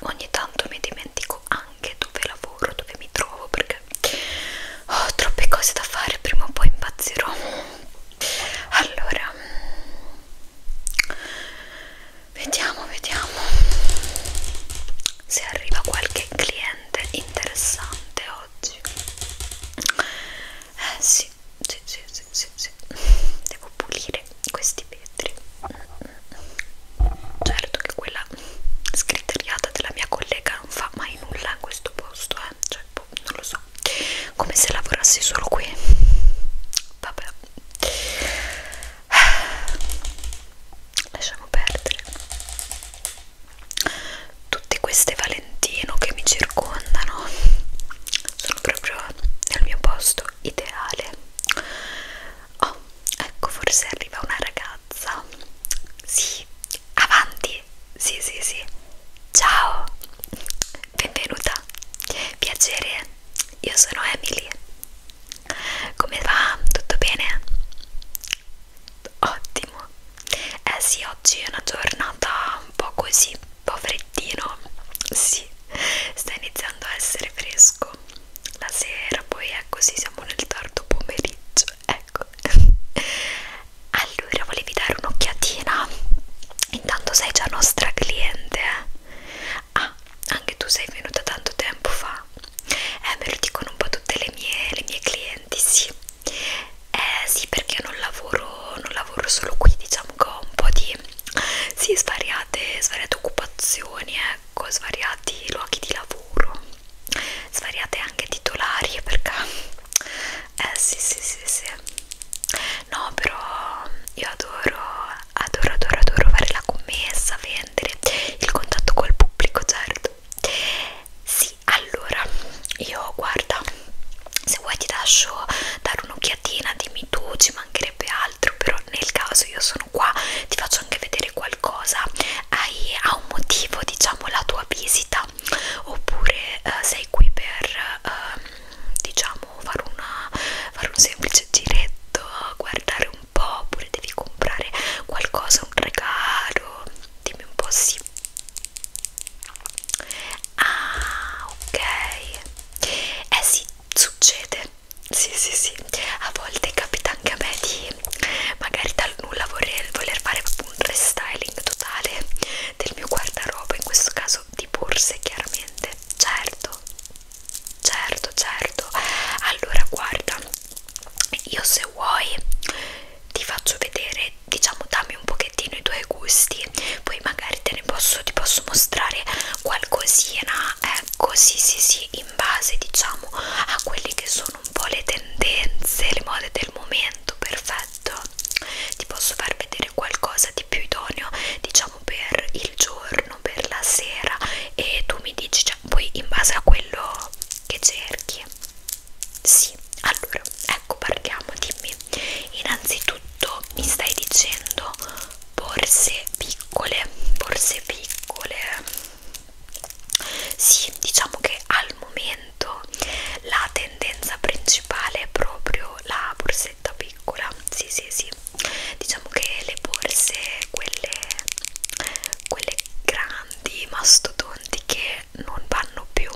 Ogni tanto mi dimentico anche dove lavoro, dove mi trovo perché ho troppe cose da fare, prima o poi impazzirò. Allora, vediamo, vediamo se arriva qualche cliente interessante oggi eh sì sì sì sì sì, sì. devo pulire questi vetri certo che quella scriteriata della mia collega non fa mai nulla in questo posto eh cioè boh, non lo so come se lavorassi solo qui vabbè lasciamo perdere tutte queste Valentino che mi circondano sono proprio nel mio posto ideale. Oh, ecco, forse arriva una ragazza. Sì, avanti. Sì, sì, sì. Ciao, benvenuta. Piacere, io sono Emily. Come va? Tutto bene? Ottimo. Eh sì, oggi è una giornata un po' così, un po' freddino. Sì, sta iniziando a essere fresco. La sera poi è così, ecco, siamo nel tardo pomeriggio. Ecco. Allora, volevi dare un'occhiatina? Intanto sei già nostra cliente. Eh? Ah, anche tu sei venuta tanto tempo fa. Eh, me lo dicono un po' tutte le mie, le mie clienti, sì. Eh sì, perché non lavoro, non lavoro solo qui, diciamo che ho un po' di sì, svariate, svariate occupazioni, ecco, svariati luoghi di lavoro, svariate anche titolari eh, perché eh sì sì sì sì no però io adoro adoro adoro adoro fare la commessa vendere il contatto col pubblico certo perfetto sì allora io guarda se vuoi ti lascio dare un'occhiatina dimmi tu ci mancherebbe altro però nel caso io sono qua ti faccio anche vedere qualcosa hai ha un motivo diciamo la tua visita oppure eh, sei qui per eh, diciamo fare, una, fare un semplice giretto guardare un po' oppure devi comprare qualcosa un regalo dimmi un po' sì ah ok eh sì succede sì sì sì a volte capita anche a me di magari dal nulla voler, voler fare proprio un restyling totale del mio guardaroba in questo caso di borse chiaramente certo certo certo allora guarda io se vuoi ti faccio vedere diciamo dammi un pochettino i tuoi gusti poi magari te ne posso ti posso mostrare qualcosina ecco sì sì sì in base diciamo a quelli che sono un po' le tendenze le mode del momento perfetto ti posso far vedere qualcosa di più idoneo diciamo per il giorno per la sera e tu mi dici cioè, poi in base a quello che cerchi sì, allora, ecco parliamo, dimmi. Innanzitutto mi stai dicendo borse piccole, borse piccole. Sì, diciamo che al momento la tendenza principale è proprio la borsetta piccola. Sì, sì, sì. Diciamo che le borse, quelle, quelle grandi mastodonti che non vanno più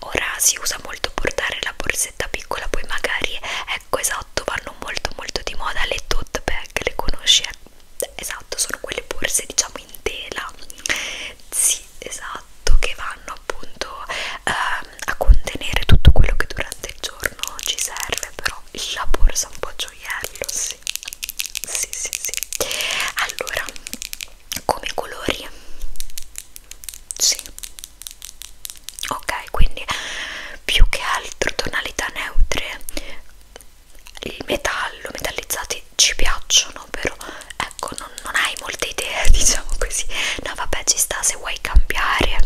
ora si usa molto portare la borsetta piccola poi magari ecco esatto vanno molto molto di moda le tote bag le conosci esatto sono quelle borse diciamo in tela sì esatto che vanno appunto ehm, a contenere tutto quello che durante il giorno ci serve però la borsa un po' gioiello, sì. Sì, sì, sì. Allora, come colori? Sì. Ok, quindi più che altro tonalità neutre. Il metallo, metallizzati ci piacciono, però ecco, non, non hai molte idee, diciamo così. No, vabbè, ci sta se vuoi cambiare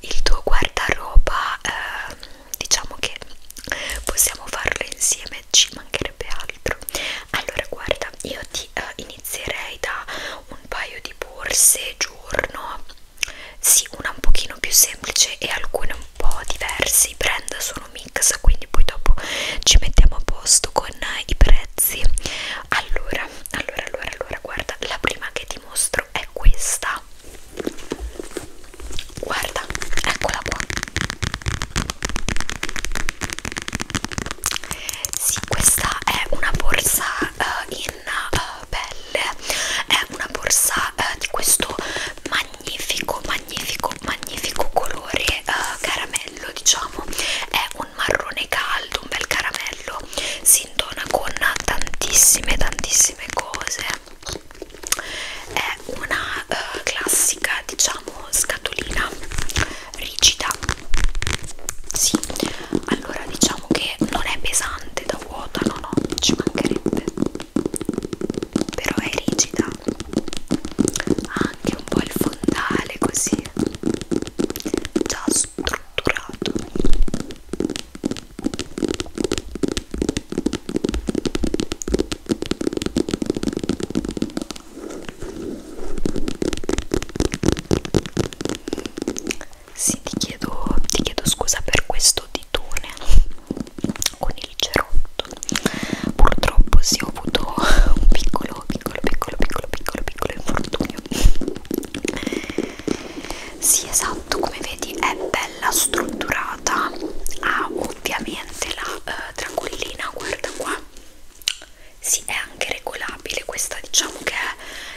il tuo guardaroba. Eh, diciamo che possiamo farlo insieme ci mancherebbe altro allora guarda io ti eh, inizierei da un paio di borse giorno sì una un pochino più semplice e alcune un po' diverse i brand sono mix quindi poi dopo ci mettiamo a posto con i prezzi allora allora allora allora guarda la prima che ti mostro è questa guarda eccola qua sì, questa è una borsa uh, in uh, pelle, è una borsa uh, di questo magnifico, magnifico, magnifico colore uh, caramello, diciamo, è un marrone caldo, un bel caramello, si intona con tantissime, tantissime cose, è una uh, classica diciamo scatolina rigida sì allora diciamo che non è pesante da vuota no no ci mancherebbe però è rigida ha anche un po' il fondale così già strutturato sì, ti chiedo, ti chiedo scusa per questo ditone con il cerotto. Purtroppo sì, ho avuto un piccolo, piccolo, piccolo, piccolo, piccolo, piccolo infortunio. Sì, esatto, come vedi è bella strutturata, ha ovviamente la eh, tranquillina guarda qua si sì, è anche regolabile questa diciamo che è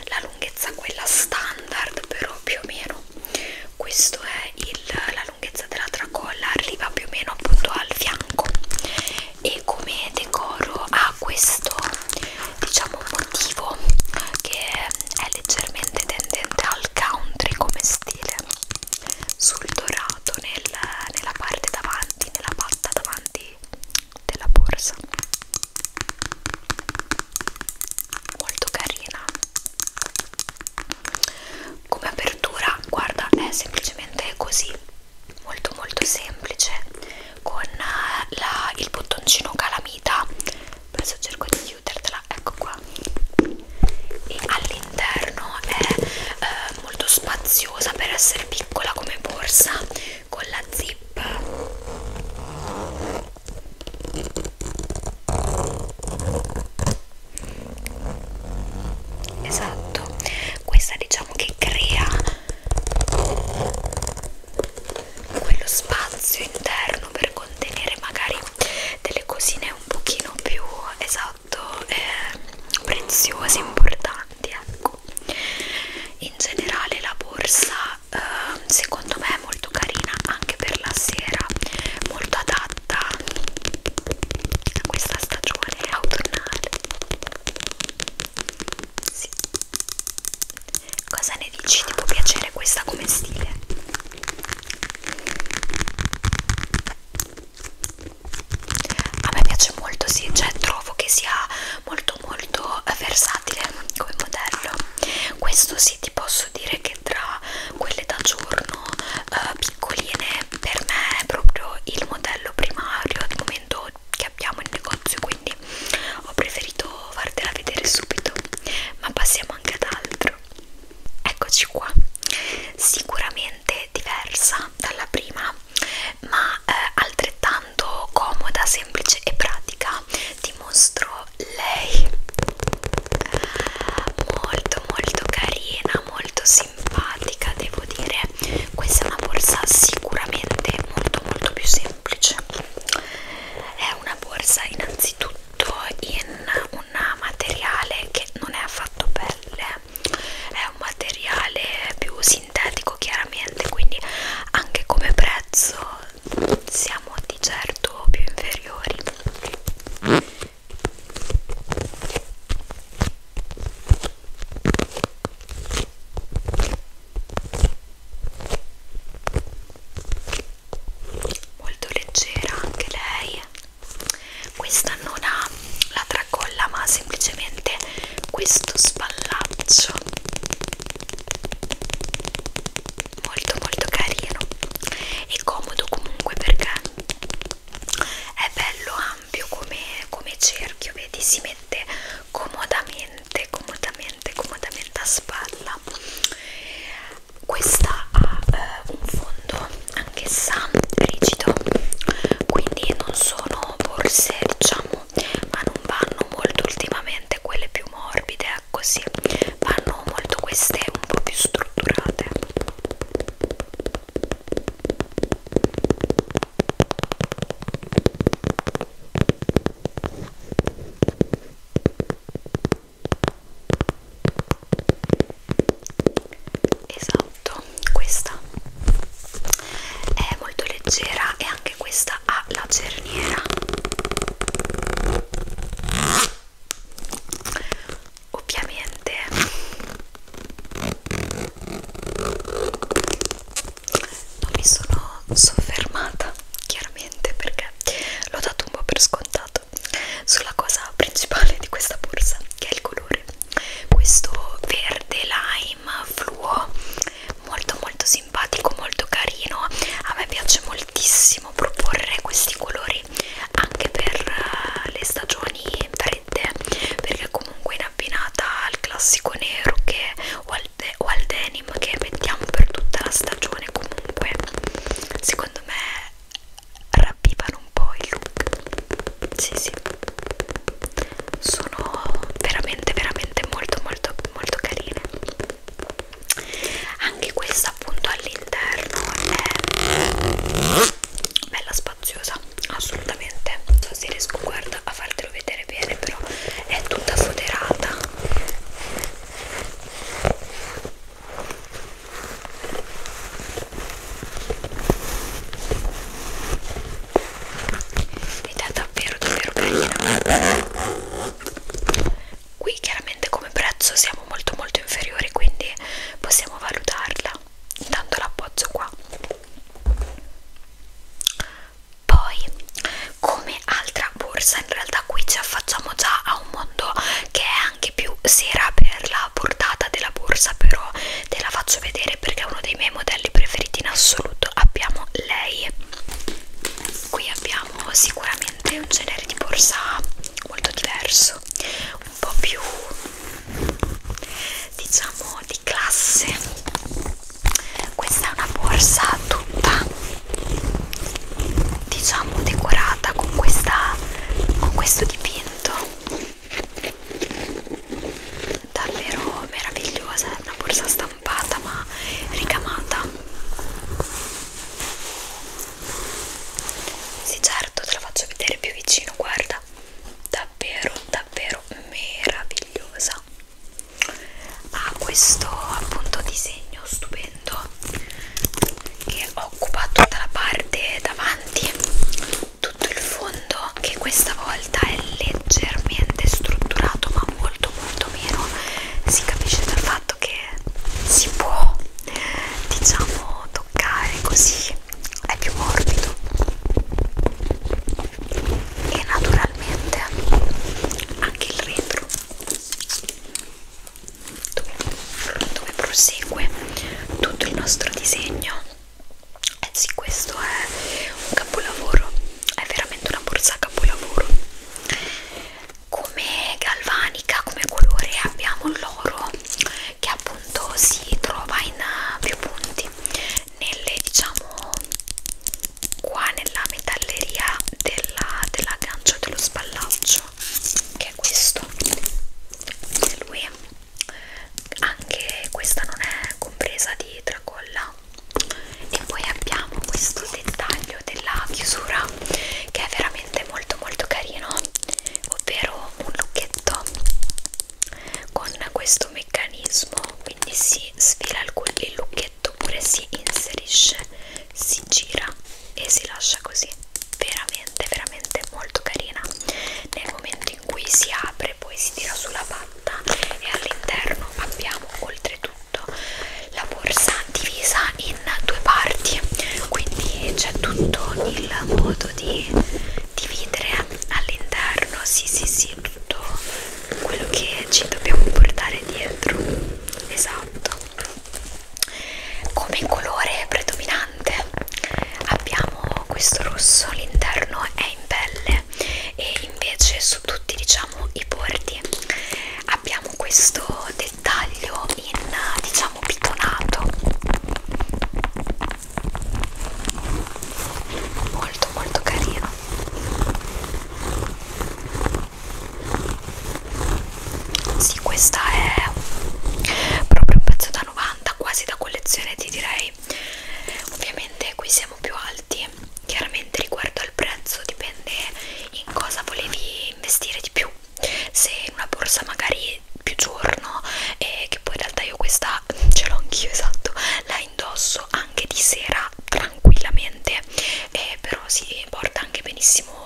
la lunghezza quella standard però più o meno questo è il, la lunghezza della tracolla arriva più o meno appunto al fianco e come decoro ha questo diciamo motivo che è leggermente tendente al country come stile sul dorato trovato nel, nella parte davanti, nella patta davanti della borsa molto carina come apertura guarda è semplicemente così molto molto semplice con eh, la, il bottoncino calamita adesso cerco di chiudertela ecco qua e all'interno è eh, molto spaziosa per essere piccola come borsa con la zip esatto questa diciamo che crea quello spazio interno per contenere magari delle cosine un pochino più esatto molto eh, preziosi, importanti, ecco. In generale la borsa eh, secondo me è molto carina anche per la sera, molto adatta a questa stagione autunnale. Sì. Cosa ne dici? Ti può piacere questa come stile? a me piace molto sì cioè trovo che sia molto molto eh, versatile come modello questo sì ti posso dire che tra quelle da giorno eh, piccoline per me è proprio il modello primario al momento che abbiamo in negozio quindi ho preferito fartela vedere subito ma passiamo anche ad altro Eccoci qua, sicuramente diversa dalla prima, ma eh, altrettanto comoda, semplice e pratica. Ti mostro lei, molto molto carina, molto simpatica, devo dire. Questa è una borsa sicuramente molto molto più semplice. È una borsa innanzitutto fatto in un materiale che non è affatto pelle è un materiale più sintetico chiaramente quindi anche come prezzo siamo di certo più inferiori molto leggera anche lei questa non ha la tracolla ma ha semplicemente questo spallaccio molto molto carino e comodo comunque perché è bello ampio come, come cerchio vedi si mette comodamente comodamente comodamente a spalla questa ha eh, un fondo anch'essa rigido quindi non sono borse diciamo ma non vanno molto ultimamente quelle più morbide eh, così vanno molto queste un po' più strutturate esatto questa è molto leggera e anche questa ha la cerniera ovviamente non mi sono soffermata chiaramente perché l'ho dato un po' per scontato appunto sulla cosa principale di questa borsa che è il colore questo verde lime fluo molto molto simpatico molto carino a me piace moltissimo proporre questi colori anche per eh, le stagioni fredde perché comunque in abbinata al classico nero che, o, al, o al denim che mettiamo per tutta la stagione comunque secondo me ravvivano un po' il look sì sì sono veramente veramente molto molto molto carine anche questa appunto all'interno è bella spaziosa assolutamente non so se riesco guarda a fartelo vedere bene però è tutta foderata ed è davvero davvero carina qui chiaramente come prezzo siamo molto molto inferiori quindi possiamo valutarla intanto l'appoggio qua poi come altra borsa in realtà qui ci affacciamo già a un mondo che è neanche più se era per la portata della borsa però te la faccio vedere perché è uno dei miei modelli preferiti in assoluto abbiamo lei qui abbiamo sicuramente un genere di borsa molto diverso un po' più diciamo di classe questa è una borsa tutta diciamo decorata con questa con questo dipinto davvero meravigliosa è una borsa stampata ma ricamata sì certo te la faccio vedere più vicino guarda davvero davvero meravigliosa ha questo appunto disegno stupendo stupendo che occupa tutta la parte davanti tutto il fondo che questa volta è leggermente strutturato ma molto molto meno si capisce dal fatto che si può diciamo toccare così è più morbido e naturalmente anche il retro dove prosegue tutto il nostro disegno eh sì questo è un capolavoro è veramente una borsa capolavoro come galvanica come colore abbiamo l'oro che appunto si trova in eh, più punti nelle diciamo qua nella metalleria dell'aggancio della e dello spallaccio che è questo di lui anche questa non è compresa di tracolla e poi abbiamo questo dettaglio della chiusura che è veramente molto molto carino ovvero un lucchetto con questo meccanismo quindi si sfila il lucchetto oppure si inserisce si gira e si lascia così veramente veramente molto carina nel momento in cui si apre poi si tira sulla patta e all'interno abbiamo oltretutto la borsa divisa in due parti quindi c'è tutto il modo di dividere all'interno sì sì sì tutto quello che ci dobbiamo portare dietro esatto come colore predominante abbiamo questo rosso l'interno è in pelle e invece su tutti diciamo i bordi abbiamo questo dettaglio in diciamo pitonato molto molto carino sì questa è proprio un pezzo da 90 quasi da collezione ti direi ovviamente qui siamo più alti chiaramente riguardo al prezzo dipende in cosa volevi investire di più se in una borsa magari più giorno e che poi in realtà io questa ce l'ho anch'io esatto la indosso anche di sera tranquillamente eh, però si porta anche benissimo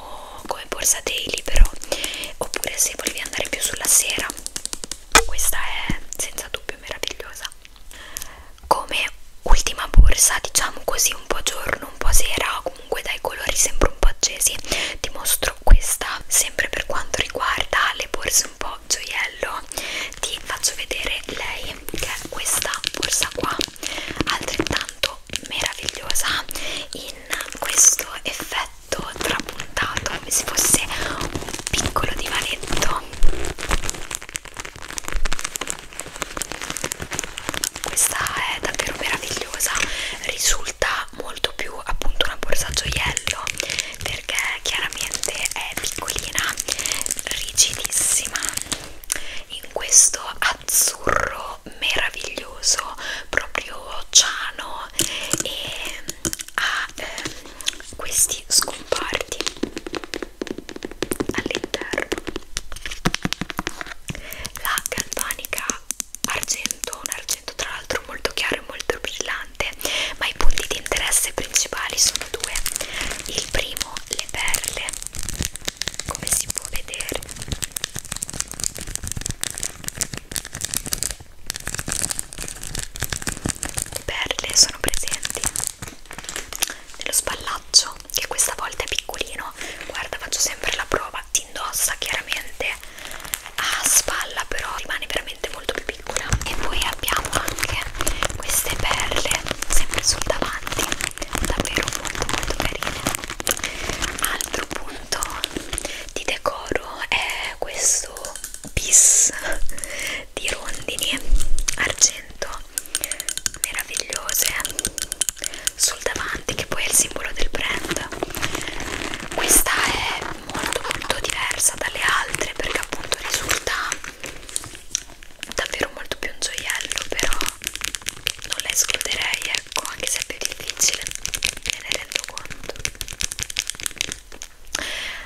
come borsa daily però oppure se volevi andare più sulla sera questa è senza dubbio meravigliosa come ultima borsa diciamo così un po' giorno un po' sera comunque dai colori sempre un po' accesi ti mostro questa sempre per quanto riguarda le borse un po' gioiello ti faccio vedere lei che è questa borsa qua altrettanto trovo meravigliosa in questo effetto trapuntato come se fosse un piccolo divanetto questa è davvero meravigliosa risulta molto più appunto una borsa gioiello perché chiaramente è piccolina rigidissima in questo azzurro vino meraviglioso, proprio ciano e ha ehm, questi scomparti all'interno. La galvanica argento, un argento tra l'altro molto chiaro e molto brillante, ma i punti di interesse principali sono due. Il primo, le perle, come si può vedere perle sono presenti nello spallaccio che questa volta è piccolino guarda faccio sempre la prova ti indossa chiaramente a spalla però rimane veramente molto più piccola e poi abbiamo anche queste perle sempre sul davanti davvero molto molto carine altro punto appunto di decoro è questo bis di rondini argento meravigliose sul davanti che poi è il simbolo del brand questa è molto molto diversa dalle altre perché appunto risulta davvero molto più un gioiello però non la escluderei ecco anche se è più difficile me ne rendo conto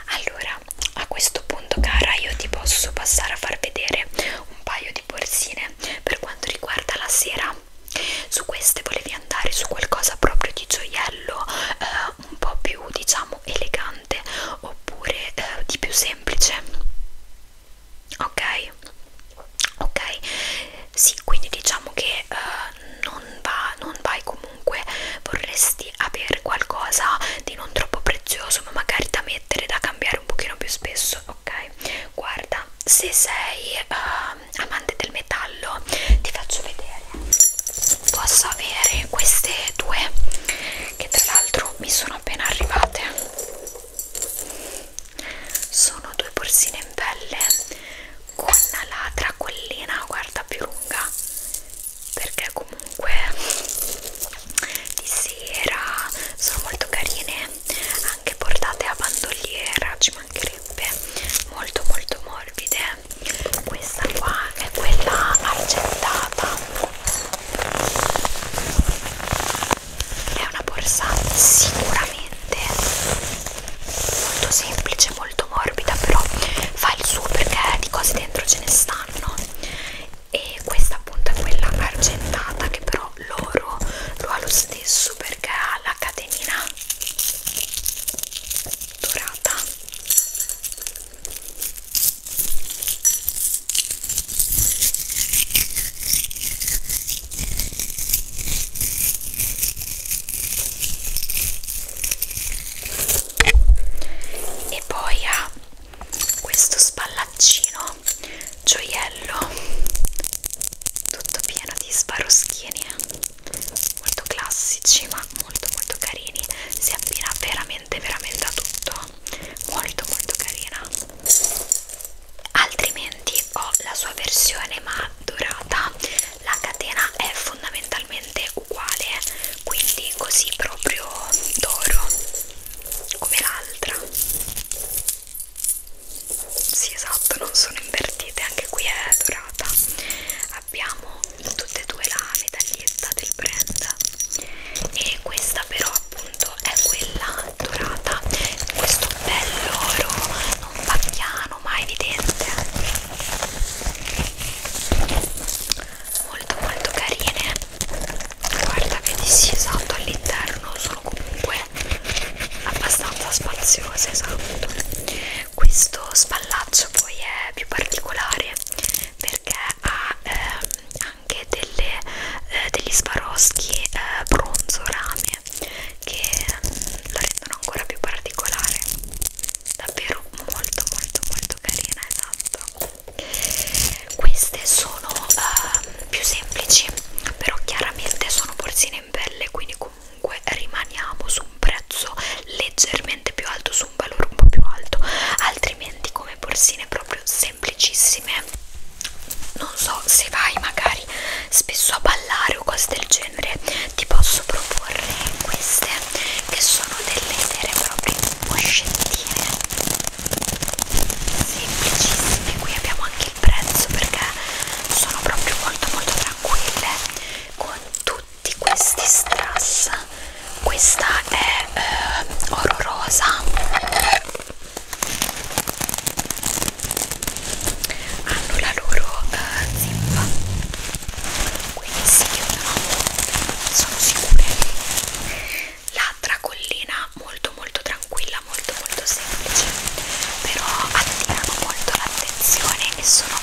allora a questo punto cara io ti posso passare a far vedere un paio di borsine per quanto riguarda la sera su queste volevi andare su qualcosa proprio di gioiello eh, un po' più diciamo elegante oppure eh, di più semplice ok poi ok sì quindi diciamo che uh, non, va, non vai comunque vorresti avere qualcosa di non troppo prezioso ma magari da mettere da cambiare un pochino più spesso ok guarda se sei uh, amante del metallo ti faccio vedere posso avere queste due che tra l'altro mi sono appena arrivate sono due borsine in pelle con la tracollina guarda più lunga perché comunque di sera sono molto carine anche portate a bandoliera ci mancherebbe molto molto morbide questa qua è quella argentata è una borsa sicuramente molto semplice, molto morbida, però fa il suo perché di cose dentro ce ne stanno. E questa appunto è quella argentata che però l'oro lo ha lo stesso perché ha la catenina dorata e poi ha questo spallaccino gioiello tutto pieno di sparoschieni eh. molto classici ma molto molto carini si abbina veramente veramente a tutto molto molto carina altrimenti ho la sua versione ma dorata la catena è fondamentalmente uguale quindi così proprio d'oro come l'altra sì esatto non sono invertite anche qui è dorata abbiamo in tutte e due la medaglietta del brand e questa però appunto è quella dorata questo bell'oro non pacchiano ma evidente molto molto carine guarda vedi sì esatto all'interno sono comunque abbastanza spaziose esatto questo spallaccio poi è più particolare perché ha ehm, anche delle, eh, degli sbaroschi eh, bronzo rame che mm, lo rendono ancora più particolare davvero molto molto molto carina esatto queste sono uh, più semplici però chiaramente sono porcine in pelle quindi comunque rimaniamo su un prezzo leggermente più alto su un valore un po' più alto altrimenti come porcine proprio semplicissime non so se vai magari spesso a ballare o cose del genere ti posso proporre queste che sono delle vere e proprie moscettine semplicissime qui abbiamo anche il prezzo perché sono proprio molto molto tranquille con tutti questi strass questa è eh, oro rosa hanno la loro uh, zippa quindi si chiudono sono sicure la tracollina molto molto tranquilla molto molto semplice però attirano molto l'attenzione e sono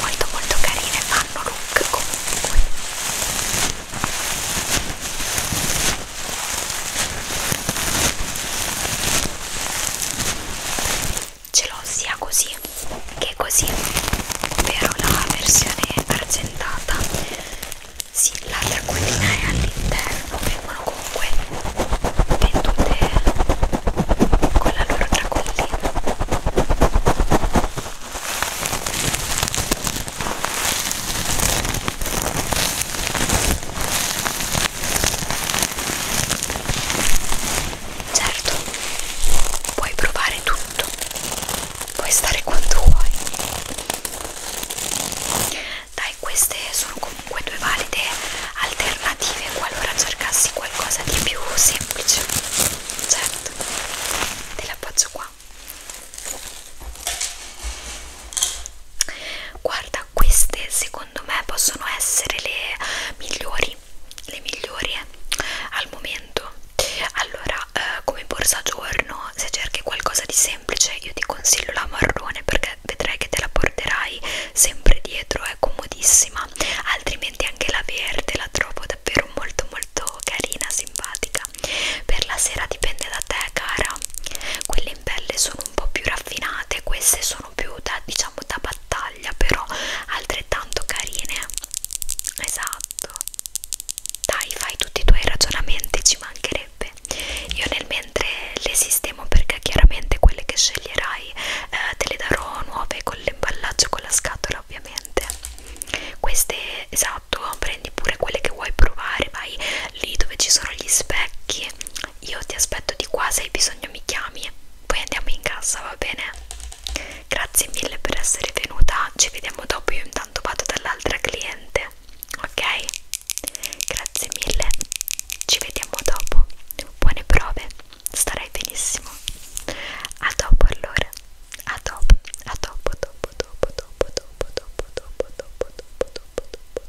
molto molto carine fanno look comunque ce l'ho sia così che così però la versione argentata sì, la tacquellina è all'interno vengono comunque vendute con la loro tacquellina Certo, puoi provare tutto, puoi stare quanto vuoi. Dai, queste sono comunque due valide alternative qualora cercassi qualcosa di più semplice. Certo, te l'appoggio qua. Guarda, realtà queste secondo me possono essere le migliori le migliori eh, al momento allora eh, come borsa giorno se cerchi qualcosa di semplice io ti consiglio la marrone perché vedrai che te la porterai sempre dietro è comodissima altrimenti anche la verde la trovo davvero molto molto carina simpatica per la sera dipende da te cara quelle in pelle sono un po' più raffinate queste sono più da diciamo da battaglia però altrettanto carine esatto dai fai tutti i tuoi ragionamenti ci mancherebbe io nel mentre le sistemo perché chiaramente quelle che sceglierai eh, te le darò nuove con l'imballaggio con la scatola ovviamente queste esatto prendi pure quelle che vuoi provare vai lì dove ci sono gli specchi io ti aspetto di qua, se hai bisogno mi chiami, poi andiamo in casa, va bene? Grazie mille per essere venuta, ci vediamo dopo, io intanto vado dall'altra cliente, ok? Grazie mille, ci vediamo dopo, buone prove, starai benissimo. A dopo allora, a dopo, a dopo, dopo, dopo, dopo, dopo, dopo, dopo, dopo, dopo, dopo.